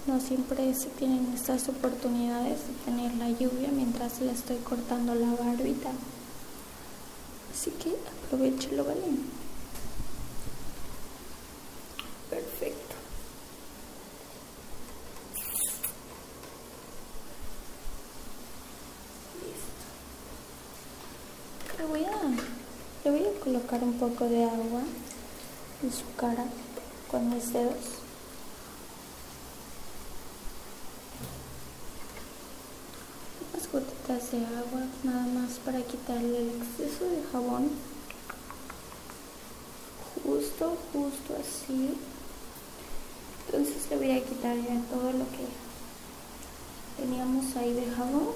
B: No siempre se tienen estas oportunidades de tener la lluvia mientras le estoy cortando la barbita. Así que lo ¿vale? Perfecto. Listo. voy, a, le voy a colocar un poco de agua en su cara con mis dedos unas gotitas de agua nada más para quitarle el exceso de jabón justo justo así entonces le voy a quitar ya todo lo que teníamos ahí de jabón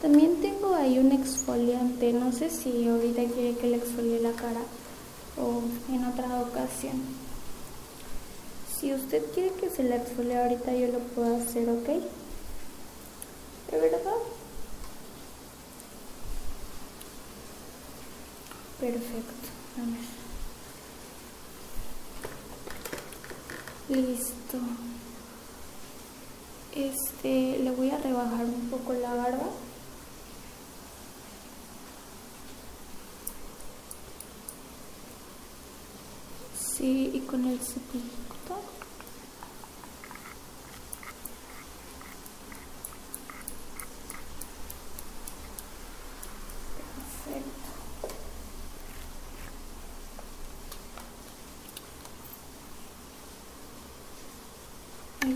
B: también tengo ahí un exfoliante, no sé si ahorita quiere que le exfolie la cara o en otra ocasión. Si usted quiere que se le exfolie ahorita yo lo puedo hacer, ¿ok? ¿De verdad? Perfecto, Listo este, le voy a rebajar un poco la barba sí, y con el Perfecto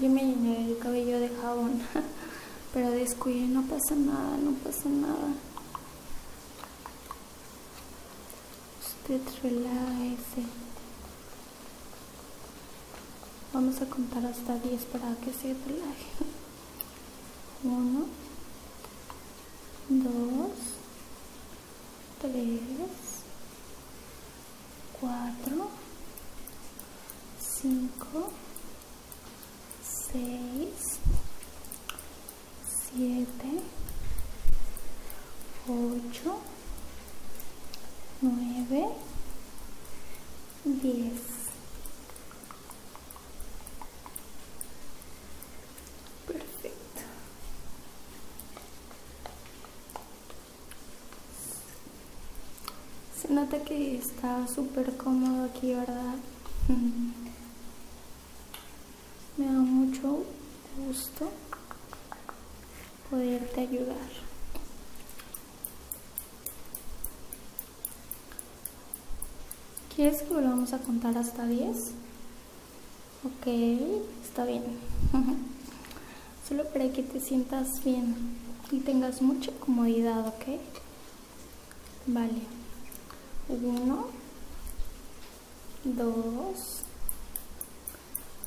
B: yo me llené el cabello de jabón. Pero descuide, no pasa nada, no pasa nada. Usted relaje, Vamos a contar hasta 10 para que se relaje. Uno, dos. 3, 4, 5, 6, 7, 8, 9, 10 perfecto se nota que está súper cómodo aquí verdad me da mucho gusto poderte ayudar ¿Quieres que volvamos a contar hasta 10? Ok, está bien. Solo para que te sientas bien y tengas mucha comodidad, ¿ok? Vale. Uno, dos,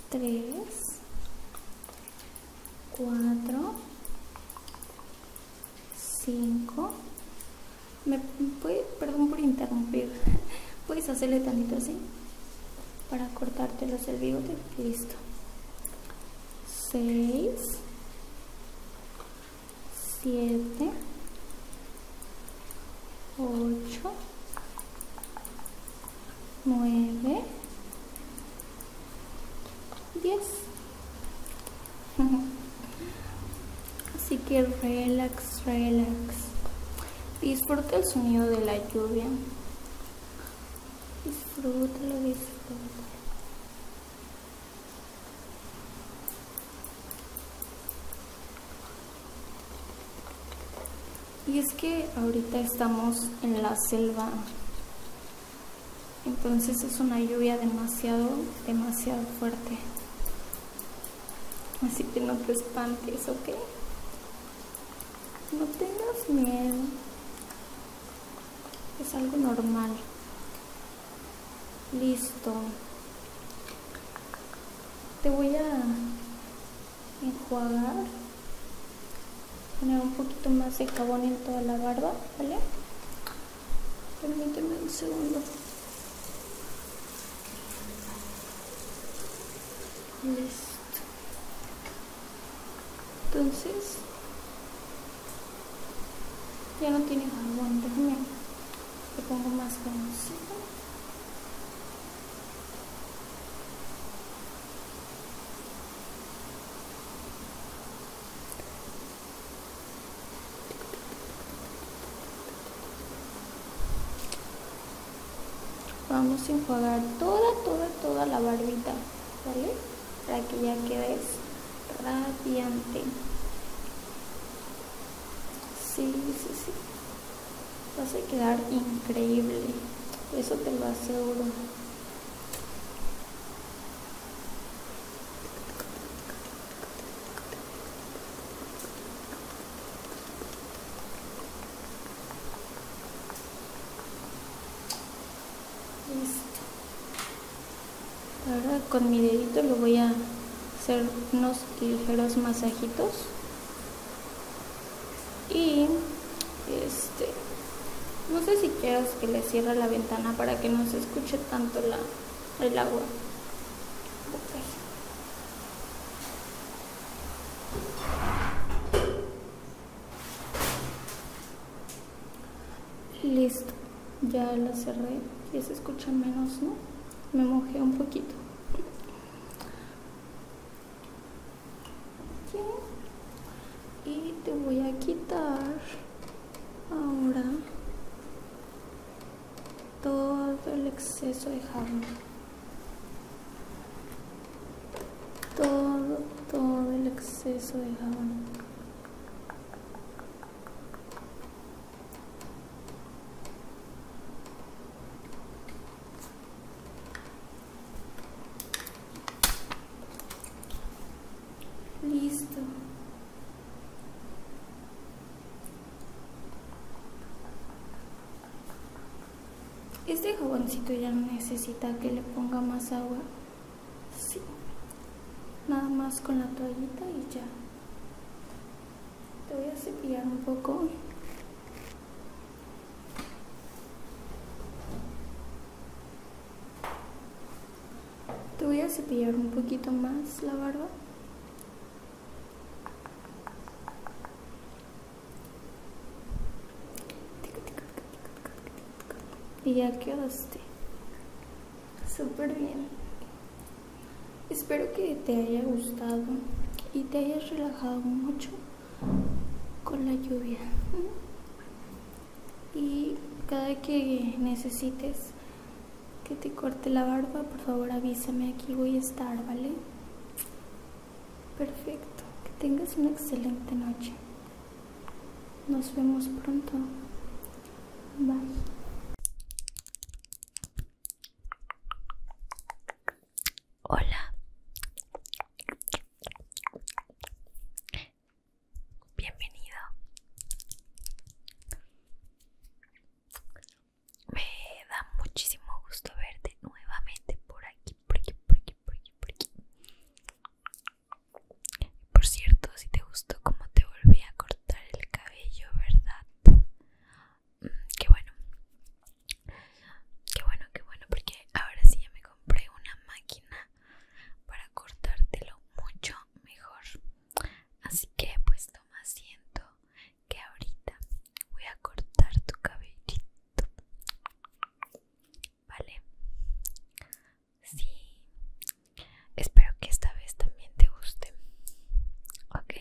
B: tres, cuatro, cinco. ¿Me perdón por interrumpir? ¿Puedes hacerle tantito así? para cortarte los del Listo. 6, 7, 8, 9, 10. Así que relax, relax. Disfruta el sonido de la lluvia. Y es que ahorita estamos en la selva, entonces es una lluvia demasiado, demasiado fuerte. Así que no te espantes, ¿ok? No tengas miedo. Es algo normal. Listo. Te voy a enjuagar. Poner un poquito más de jabón en toda la barba, ¿vale? Permíteme un segundo. Listo. Entonces, ya no tiene jabón, déjame. Le pongo más conocido vamos a enjuagar toda, toda, toda la barbita, ¿vale? Para que ya quedes radiante. Sí, sí, sí. Vas a quedar increíble. Eso te lo aseguro. Ahora con mi dedito le voy a hacer unos ligeros masajitos. Y este no sé si quieras que le cierre la ventana para que no se escuche tanto la, el agua. Listo, ya la cerré y se escucha menos, ¿no? Me mojé un poquito. Y te voy a quitar ahora todo el exceso de jabón todo, todo el exceso de jabón. Listo. Este jaboncito ya no necesita que le ponga más agua. Sí. Nada más con la toallita y ya. Te voy a cepillar un poco. Te voy a cepillar un poquito más la barba y ya quedaste. Súper bien. Espero que te haya gustado y te hayas relajado mucho con la lluvia. Y cada que necesites que te corte la barba, por favor avísame, aquí voy a estar, ¿vale? Perfecto, que tengas una excelente noche. Nos vemos pronto. Bye. Hola.
A: Bienvenido. Me da muchísimo gusto verte nuevamente por aquí, por aquí, por aquí, por aquí, por cierto, si te gustó como te volví a cortar el cabello, ¿verdad? Mm, qué bueno. Qué bueno, qué bueno, porque ahora sí ya me compré una máquina para cortártelo mucho mejor. Así que pues toma asiento que ahorita voy a cortar tu cabellito vale sí espero que esta vez también te guste ok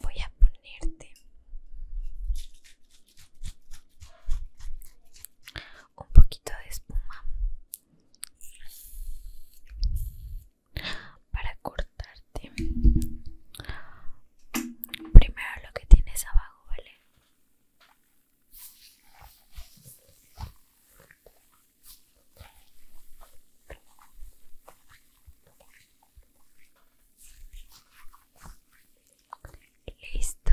A: Voy a ponerte un poquito de espuma para cortarte primero lo que tienes abajo vale listo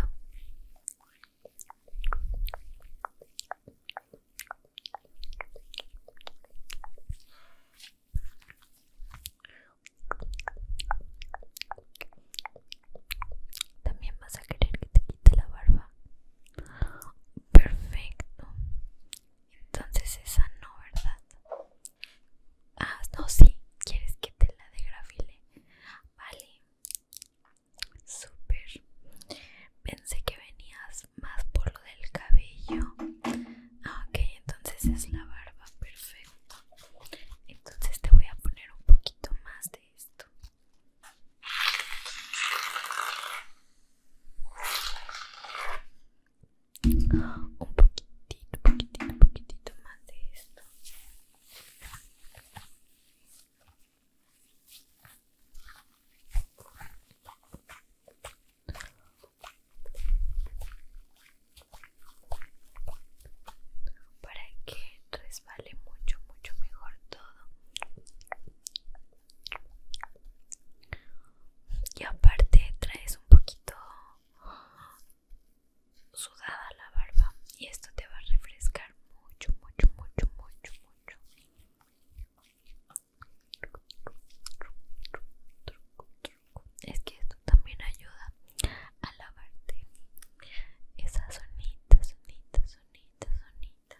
A: también vas a querer que te quite la barba. Perfecto. Entonces esa no, ¿verdad? Ah, no, sí. ¿Quieres que te la degrafile? Vale. Súper, Pensé que venías más por lo del cabello. Ah, ok, entonces es la barba. Perfecto. Entonces te voy a poner un poquito más de esto. Un poquitito, poquitito, poquitito más de esto para que resbale mucho mucho mejor todo y aparte traes un poquito sudada la barba y esto te va a refrescar mucho, mucho, mucho, mucho, mucho. Es que esto también ayuda a lavarte esa sonita, sonitas sonitas sonitas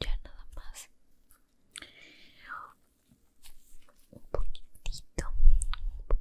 A: Ya nada más. Un poquitito,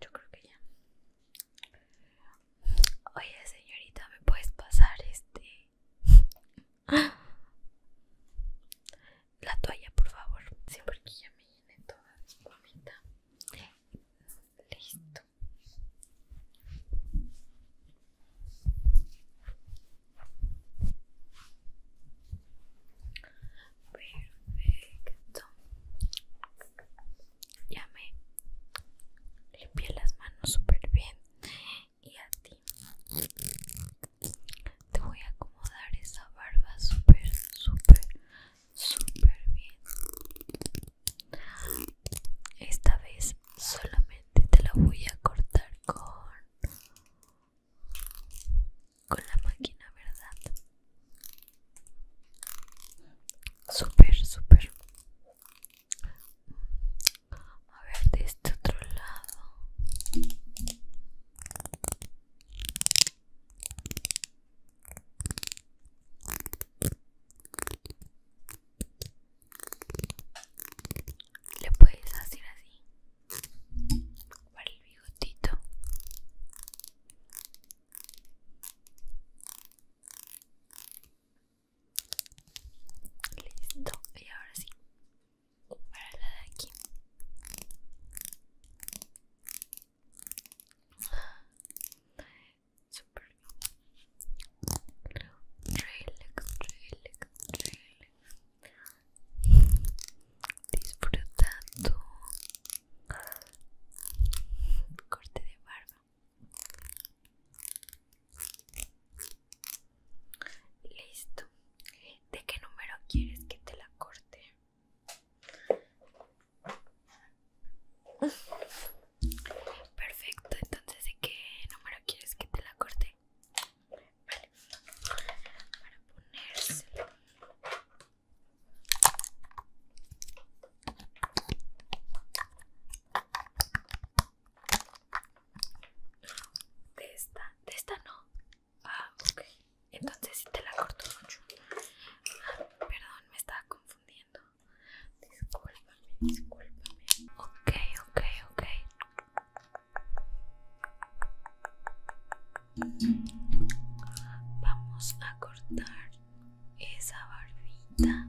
A: Yo creo que ya. Oye, señorita, ¿me puedes pasar este? La toalla, por favor. siempre que ya me llenen toda Listo. Perfecto. Ya me limpié las manos súper bien. Y a ti te voy a acomodar esa barba súper, súper, súper bien. Esta vez solamente te la voy a cortar con con la máquina, ¿verdad? super, super A ver, de este otro lado. Le puedes hacer así para el bigotito listo y ahora sí para la de aquí super relax relax relax disfrutando corte de barba listo de qué número quieres que te la corte perfecto entonces de qué número quieres que te la corte Vale. Para ponérselo. De esta, de esta no. Ah, ok. Entonces si te la corto mucho. Ah, perdón, me estaba confundiendo. Discúlpame, discúlpame. Ok, ok, ok. Vamos a cortar esa barbita.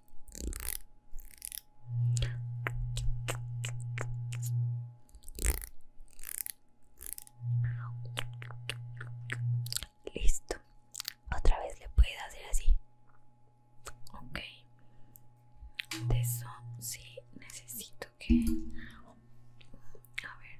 A: Listo. Otra vez le puedes hacer así. Ok. De eso sí necesito que... A ver.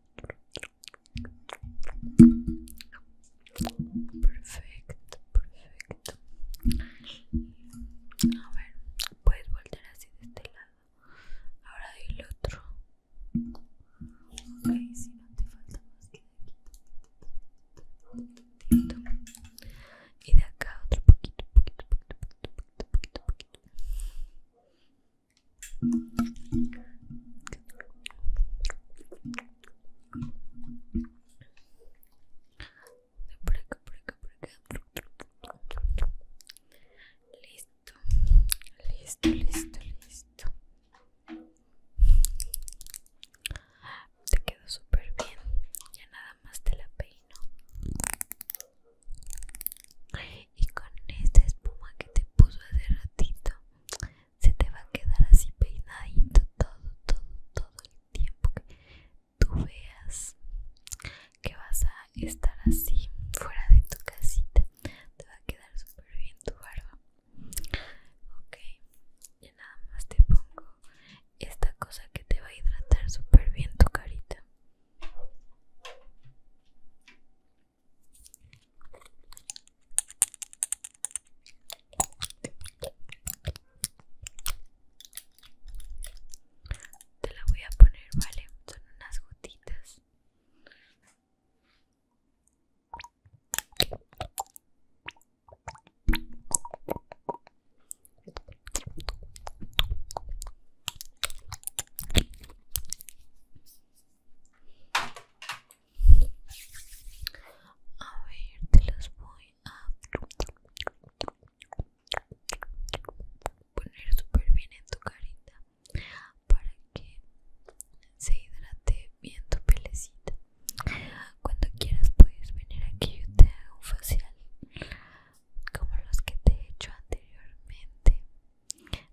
A: Perfecto, perfecto. A ver, puedes volver así de este lado. Ahora doy el otro. Ok, si no te falta más que y de acá otro poquito, poquito, poquito, poquito, poquito, poquito, poquito. Por acá, por Listo, listo, listo, listo. Te quedó súper bien. Ya nada más te la peino. Y con esta espuma que te puso hace ratito, se te va a quedar así peinadito todo, todo, todo el tiempo que tú veas que vas a estar así fuera de tu casita. Te va a quedar súper bien tu barba. Ok, y nada más te pongo esta cosa que te va a hidratar súper bien tu carita. Te la voy a poner, ¿vale? Son unas gotitas. A ver, te los voy a poner súper bien en tu carita para que se hidrate bien tu pelecita. Cuando quieras puedes venir aquí yo te hago un facial como los que te he hecho anteriormente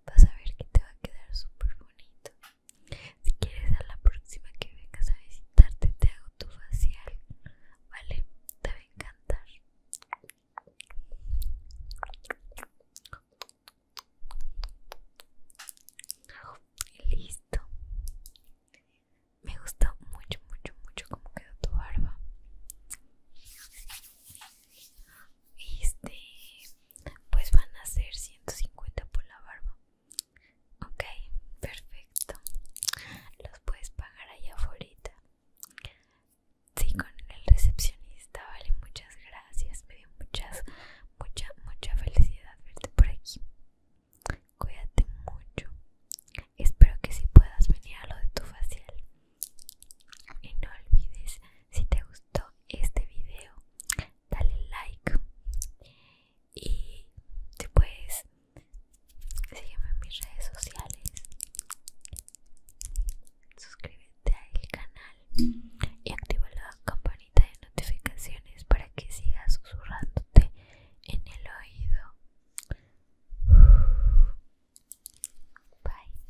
A: Vas a ver que te va a quedar súper bonito. Si quieres a la próxima que vengas a visitarte te hago tu facial, ¿vale? Te va a encantar. listo. Me gusta mucho, mucho, mucho Como quedó tu barba este pues van a ser 150 por la barba ok perfecto los puedes pagar allá afuera sí con el recepcionista vale muchas gracias me dio muchas mucha mucha felicidad verte por aquí cuídate mucho espero que si puedas venir a lo de tu facial y no olvides si te gustó este video dale like y después puedes sígueme en mis redes sociales suscríbete al canal y activa la campanita de notificaciones para que sigas susurrándote en el oído Bye.